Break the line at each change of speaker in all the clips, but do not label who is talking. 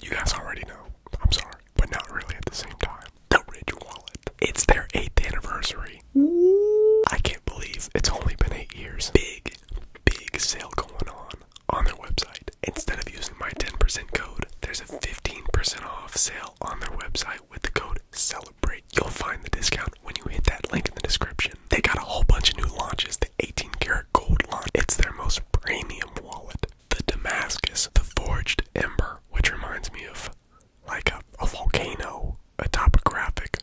You guys already know. I'm sorry, but not really at the same time. The Ridge Wallet. It's their eighth anniversary. I can't believe it's only been eight years. Big, big sale going on on their website. Instead of using my 10% code, there's a 15% off sale on their website with the code CELEBRATE. You'll find the discount when you hit that link in the description. They got a whole bunch of new launches. The 18 karat gold line. It's their most premium wallet the Damascus, the forged ember, which reminds me of like a, volcano, a topographic,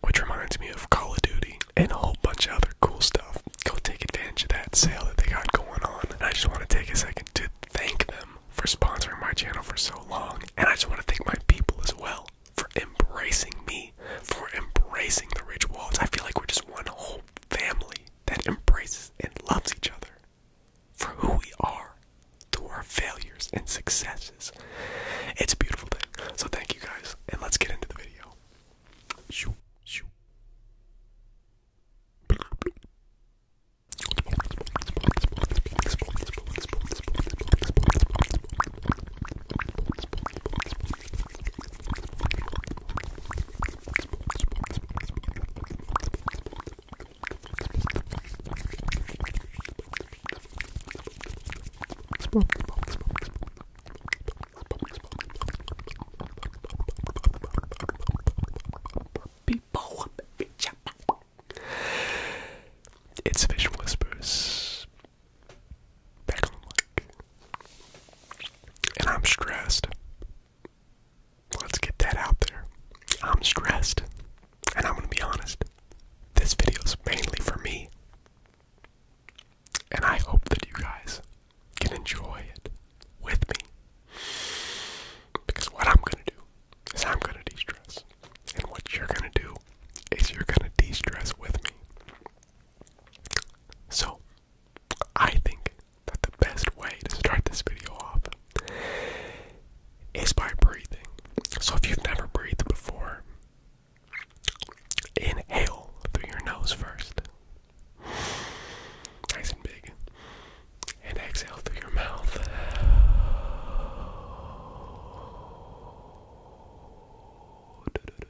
which reminds me of Call of Duty, and a whole bunch of other cool stuff. Go take advantage of that sale that they got going on. And I just want to take a second to thank them for sponsoring my channel for so long. And I just want to thank my people as well for embracing me, for embracing the Ridge Walls. I feel like we're just one whole family that embraces and loves each other for who we are through our failures and successes. It's a beautiful thing. So thank you guys, and let's get into the video. Shoo, shoo. It's Fish Whispers. And I'm stressed. Let's get that out there. I'm stressed, and I'm gonna be honest. This video is mainly for me, and I hope that you guys can enjoy it with me. Because what I'm gonna do is I'm gonna de stress, and what you're gonna do is you're gonna de stress with me. So, I think that the best way to start this video off is by breathing. So if you've never breathed before, inhale through your nose first. Nice and big. And exhale through your mouth.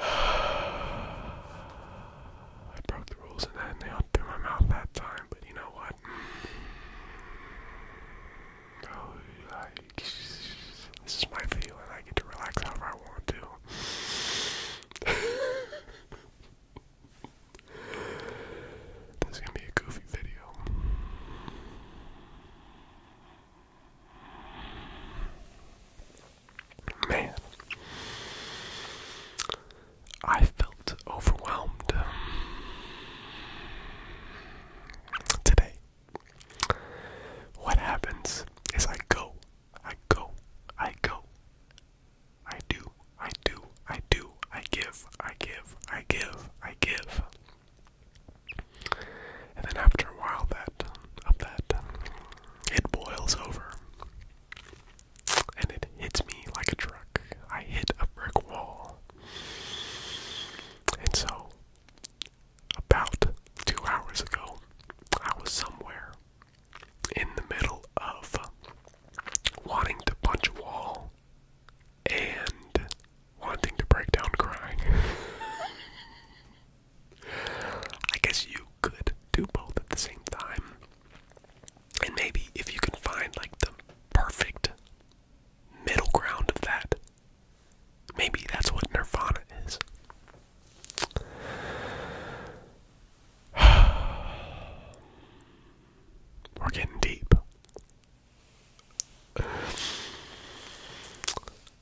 I broke the rules in that they all through my mouth that time, but you know what? Mm. Oh, this is my video and I get to relax however I want to. this is gonna be a goofy video. Man, I felt overwhelmed today. What happens is I go, I go, I go, I do, I do, I do, I give, I give, I give, I give. And then after a while that of that it boils over. And it hits me like a truck. I hit a brick wall. And so about two hours ago, I was somewhere in the middle of wanting to punch a wall and wanting to break down crying. I guess you could do both at the same time. And maybe if you can find like the perfect middle ground of that, maybe that's what Nirvana is. We're getting deep.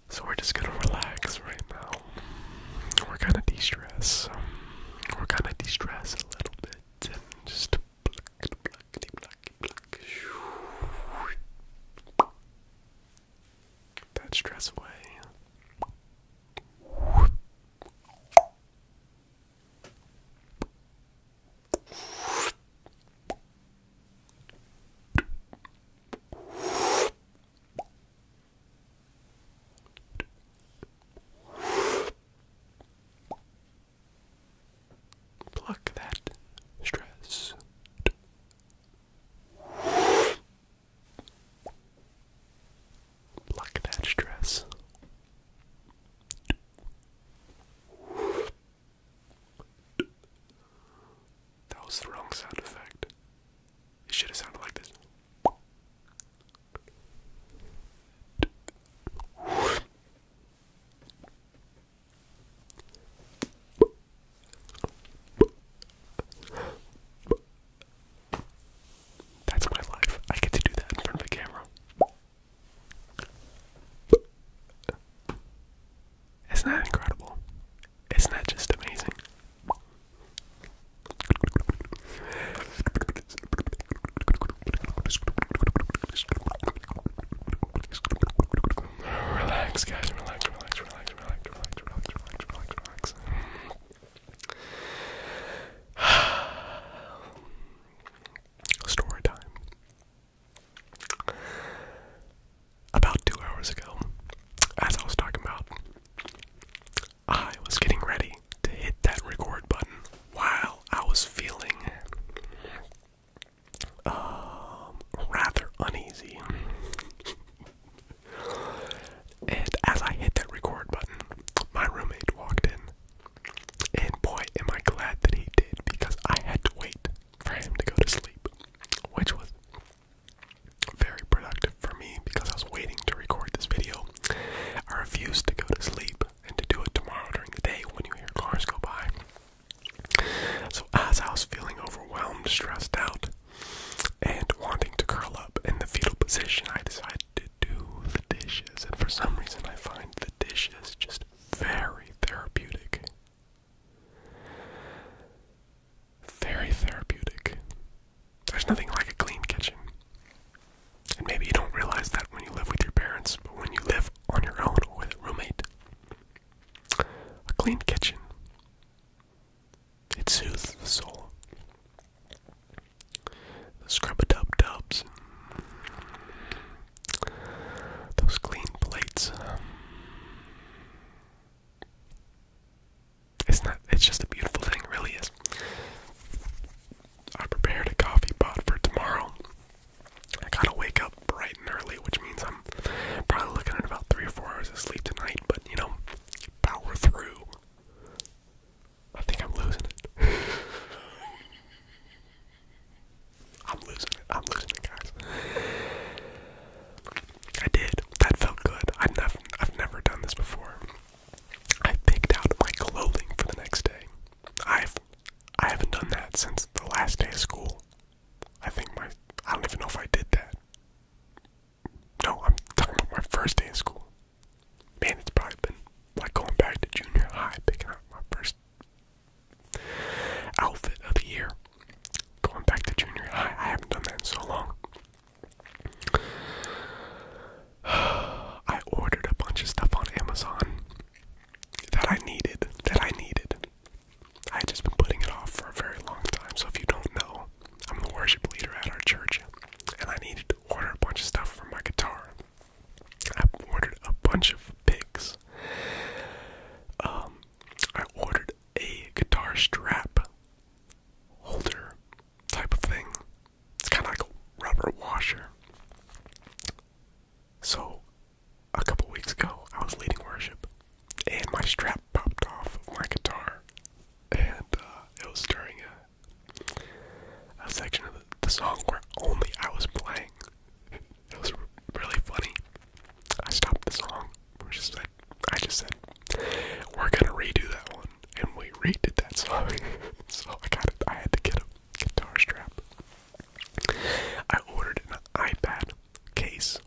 So we're just gonna relax right now. We're kind of de stress. We're kind of de stress a little bit and just That stress away. Pluck that stress. Pluck that stress. That was the wrong sound effect. It should have sounded like this. That's my life. I get to do that in front of the camera. Isn't that incredible? Isn't that just amazing? Relax, guys. Relax, relax, relax, relax, relax, relax, relax, relax, Story time. About two hours ago, as I was talking about, I was getting ready to hit that record button while I was feeling um, rather uneasy. and as I hit that record button, my roommate walked in. And boy, am I glad that he did because I had to wait for him to go to sleep, which was very productive for me because I was waiting to record this video. I refused to go to sleep and to do it tomorrow during the day when you hear cars go by. So, as I was feeling overwhelmed, stressed out, and wanting to curl up in the fetal position, I decided to do the dishes. And for some reason, I find the dishes just very therapeutic very therapeutic. There's nothing like a clean kitchen. And maybe you don't realize that when you live with your parents, but when you live on your own or with a roommate, a clean kitchen. It soothes the soul. scrub a dub dubs those clean plates. Um, it's not. It's just a beautiful thing. really is. I prepared a coffee pot for tomorrow. I gotta wake up bright and early, which means I'm probably looking at about three or four hours of sleep tonight. But you know, power through. I think I'm losing it. I'm losing it. I'm losing it, guys. I did. That felt good. I've never, done this before. I picked out my clothing for the next day. I've, I haven't done that since the last day of school. I think my, I don't even know if I did that. No, I'm talking about my first day in school. Man, it's probably been like going back to junior high, picking out my first Outfit of the year. Going back to junior high, I haven't done that in so long. I ordered a bunch of stuff on Amazon that I needed, that I needed. I just been putting it off for a very long time, so if you don't know, I'm the worship leader at our church, and I needed to order a bunch of stuff for my guitar. I ordered a bunch of picks um, I ordered a guitar strap holder type of thing. It's kind of like a rubber washer. So, a couple weeks ago, I was leading worship, and my strap popped off of my guitar, and uh, it was during a, section of the song where only I was playing. It was really funny. I stopped the song. I just said, we're gonna redo that one, and we redid that song. so I got it. I had to get a guitar strap. I ordered an iPad case.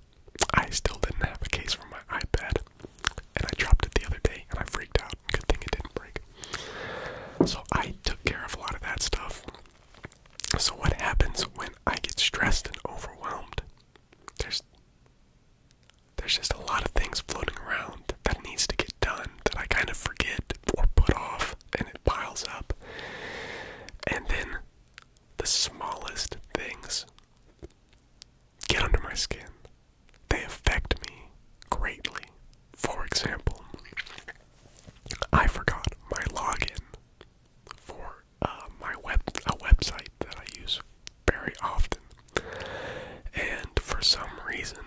I still didn't have a case for my iPad, and I dropped it the other day, and I freaked out. Good thing it didn't break. So I took care of a lot of that stuff. So, what happens when I get stressed and overwhelmed? There's there's just a lot of things floating around that needs to get done that I kind of forget or put off and it piles up. And then the smallest things get under my skin. They affect me greatly. For example, I forgot my login for uh, my web a website that I use very often, and for some reason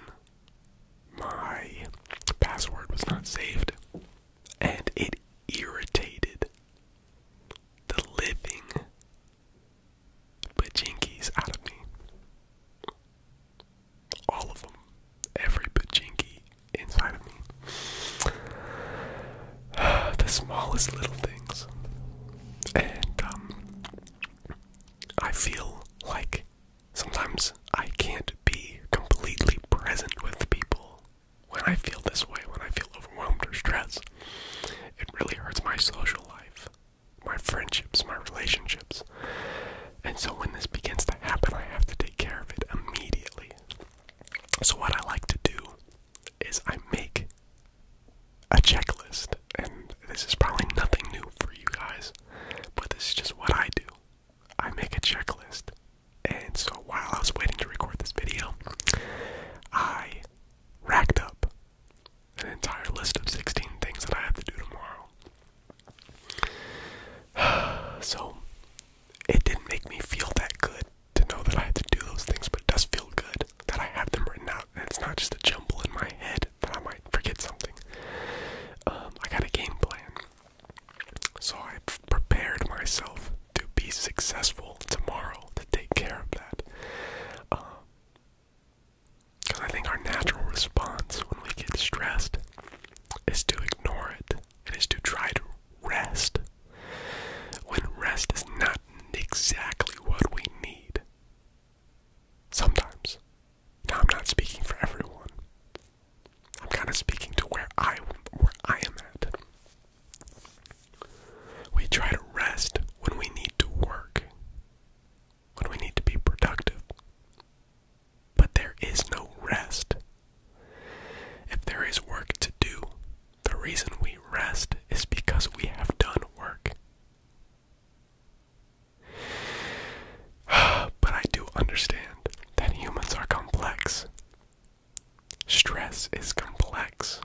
my password was not saved, and it irritated the living bajinkies out of me. All of them every pajinki inside of me. the smallest little things. And um, I feel like sometimes I can't be completely present with people when I feel this way, when I feel overwhelmed or stressed. It really hurts my social life, my friendships, my relationships. And so when this begins to happen, I have to take care of it immediately. So, what I like to do is I make a checklist, and this is probably nothing new for you guys, but this is just what I do. I make a checklist, and so while I was waiting to record this video, I racked up an entire list of 16 things that I have to do tomorrow. So, it didn't make me feel that good to know that I had to do those things, but it does feel good that I have them written out and it's not just a jumble in my head that I might forget something. Um, I got a game plan. So I've prepared myself to be successful tomorrow to take care of that. Because um, I think our natural response when we get stressed is to ignore it it is to try to rest when rest is not exactly what we need. Sometimes. Now, I'm not speaking for everyone. I'm kind of speaking to where I where I am at. We try to rest when we need to work, when we need to be productive, but there is no rest. If there is work to do, the reason we rest is because we have done work. But I do understand that humans are complex. Stress is complex.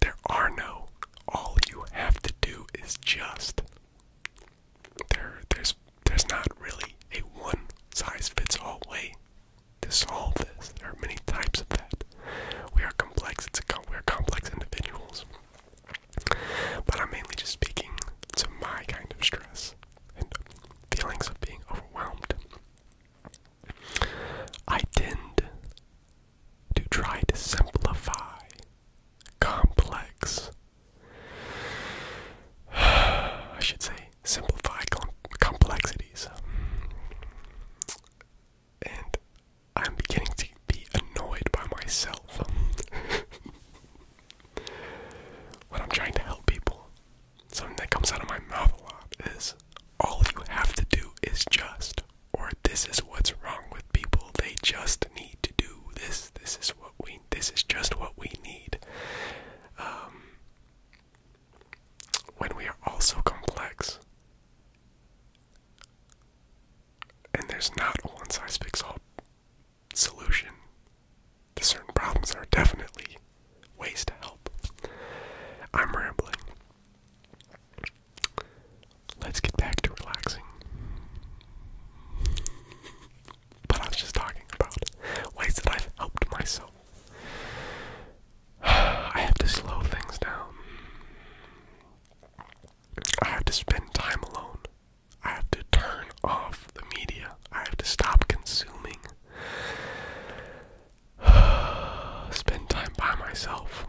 There are no all you have to do is just. There there's there's not really a one size fits all way to solve this. There are many types of that. We are complex. It's a we are complex individuals. But I'm mainly just speaking to my kind of stress and feelings of being overwhelmed. I tend to try to simplify complex I should say simplify complexities. And I'm beginning to be annoyed by myself when I'm trying to help people. Something that comes out of my mouth a lot is all you have to do is just, or this is what's wrong with people. They just need to do this. This is what we. This is just what we need. Um, when we are all so complex. And there's not a one size fits all solution to certain problems. There are definitely ways to help. I'm rambling. Let's get back to relaxing but I was just talking about ways that I've helped myself. I have to slow things down. I have to spend time alone. I have to turn off the media. I have to stop consuming. spend time by myself.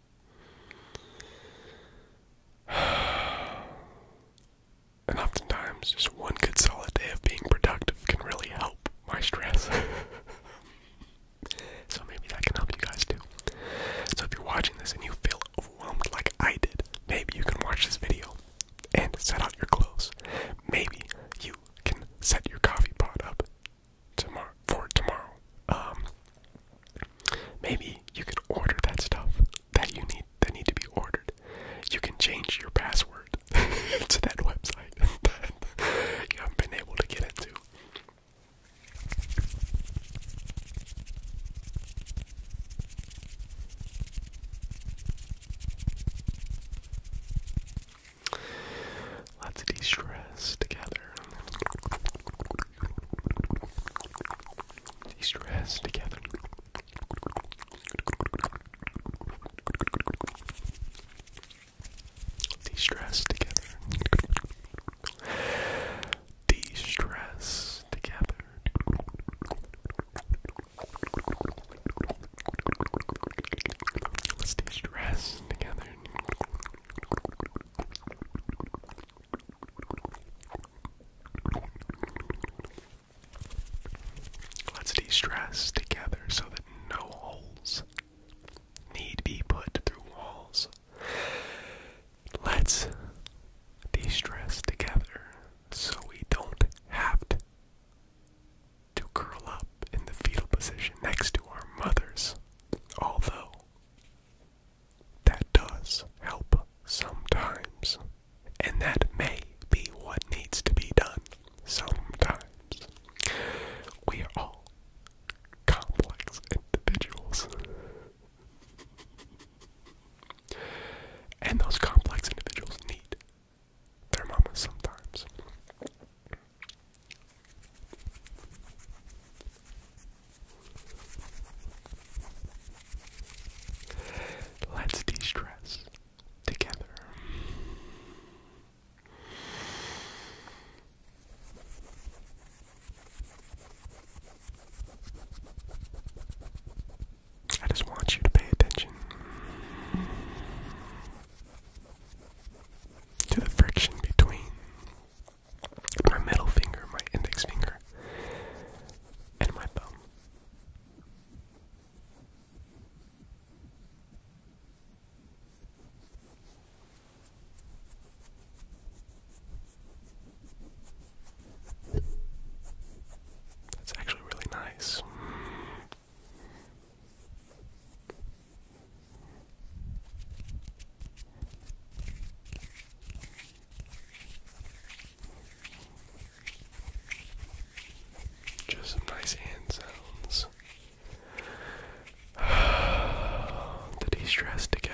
And oftentimes, just one good solid day of being productive can really help my stress. so maybe that can help you guys too. So if you're watching this and you feel overwhelmed like I did, maybe you can watch this video and set out your clothes. Maybe you can set your coffee pot up tomorrow for tomorrow. Um, Maybe you can order that stuff that you need that need to be ordered. You can change your password to that website that you haven't been able to get into. Let's de stress together de-stress together. De-stress together. De-stress together. Let's de-stress together. Let's de stress together so that no holes need be put through walls. Let's de stress together so we don't have to, to curl up in the fetal position next to our mothers. Although that does help sometimes. And that may be what needs to be done sometimes. We are all complex individuals. And those complex individuals need their mamas sometimes. Let's de stress together. I just want you to pay attention to the friction between my middle finger, my index finger, and my thumb. That's actually really nice. Just some nice hand sounds to de stress together.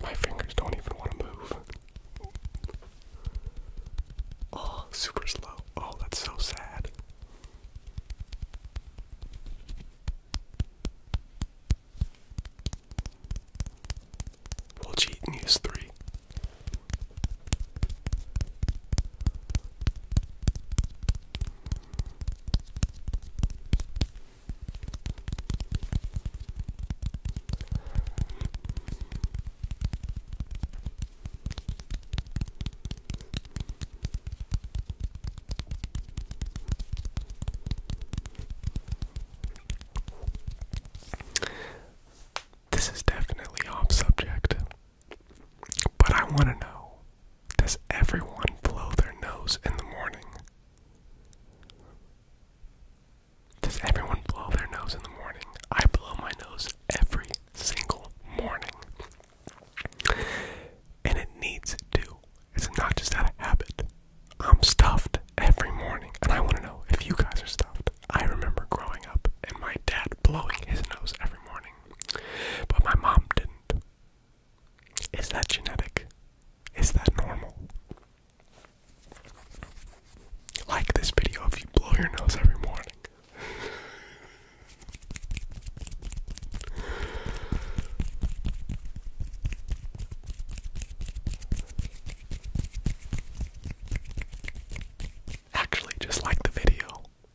My fingers don't even want to move. Oh, super slow. Oh, that's so sad. We'll cheat and use three. This is definitely off subject, but I want to know does everyone blow their nose in the morning? Does everyone blow their nose in the morning? I blow my nose every single morning. And it needs to. It's not just out of habit. I'm stuffed every morning. And I want to know if you guys are stuffed. I remember growing up and my dad blowing his nose every morning. But my mom didn't. Is that genetic? Is that normal? Like this video if you blow your nose every morning. Actually, just like the video,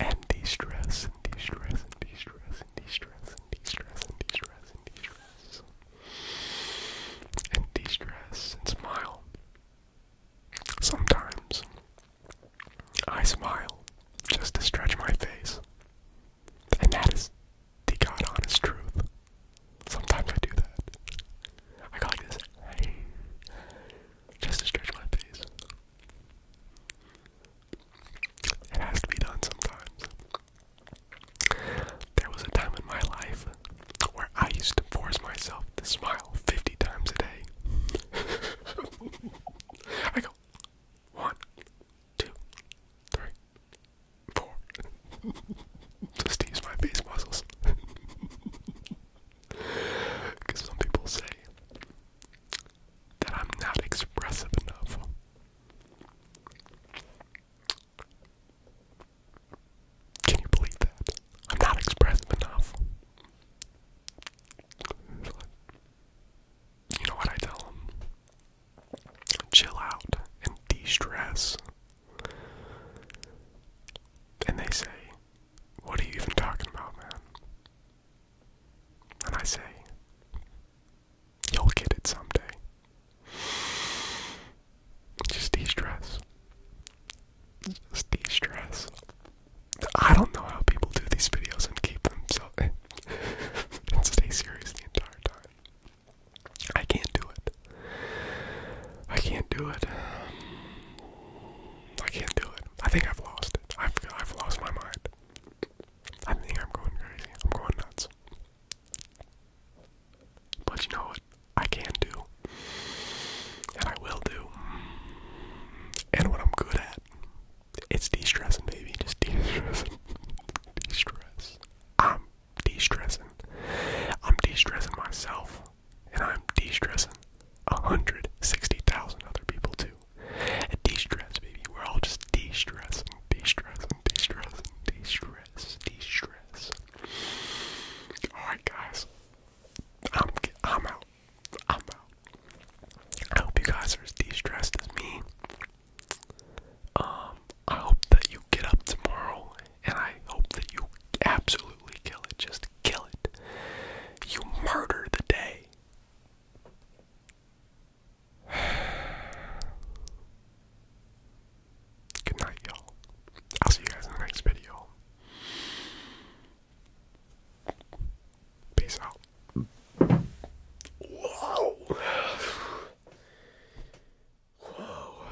and de-stress, and de-stress, and de-stress, and de-stress, and de-stress, and de-stress, and de-stress, and de-stress, and smile. Sometimes I smile just to stretch my face, and that is the god honest truth. Sometimes I do that. I go this, hey, just to stretch my face. It has to be done sometimes. There was a time in my life where I used to force myself to smile 50 times a day. I go, one, two, three, four. Just to use my face muscles. Because some people say that I'm not expressive enough. Can you believe that? I'm not expressive enough. You know what I tell them? Chill out and de stress and they say, What are you even talking about, man? And I say, You'll get it someday. Just de stress. Just de stress. I don't know how people do these videos and keep themselves and stay serious the entire time. I can't do it. I can't do it. I can't do it. I think I've lost it. I've I've lost my mind. I think I'm going crazy. I'm going nuts. But you know what? I can do. And I will do. And what I'm good at. It's de-stressing, baby. Just de-stressing. de-stress. I'm de-stressing. I'm de-stressing myself and I'm de-stressing 160,000 other people too. And de-stress, baby. We're all just de-stressing, de-stressing, de-stressing, de-stress, de-stress. All right, guys. I'm I'm out. I'm out. I hope you guys are as de-stressed as me. Um, I hope that you get up tomorrow and I hope that you absolutely kill it. Just kill it. You murder the day. Good night, y'all. I'll see you guys in the next video. Peace out. Whoa. Whoa.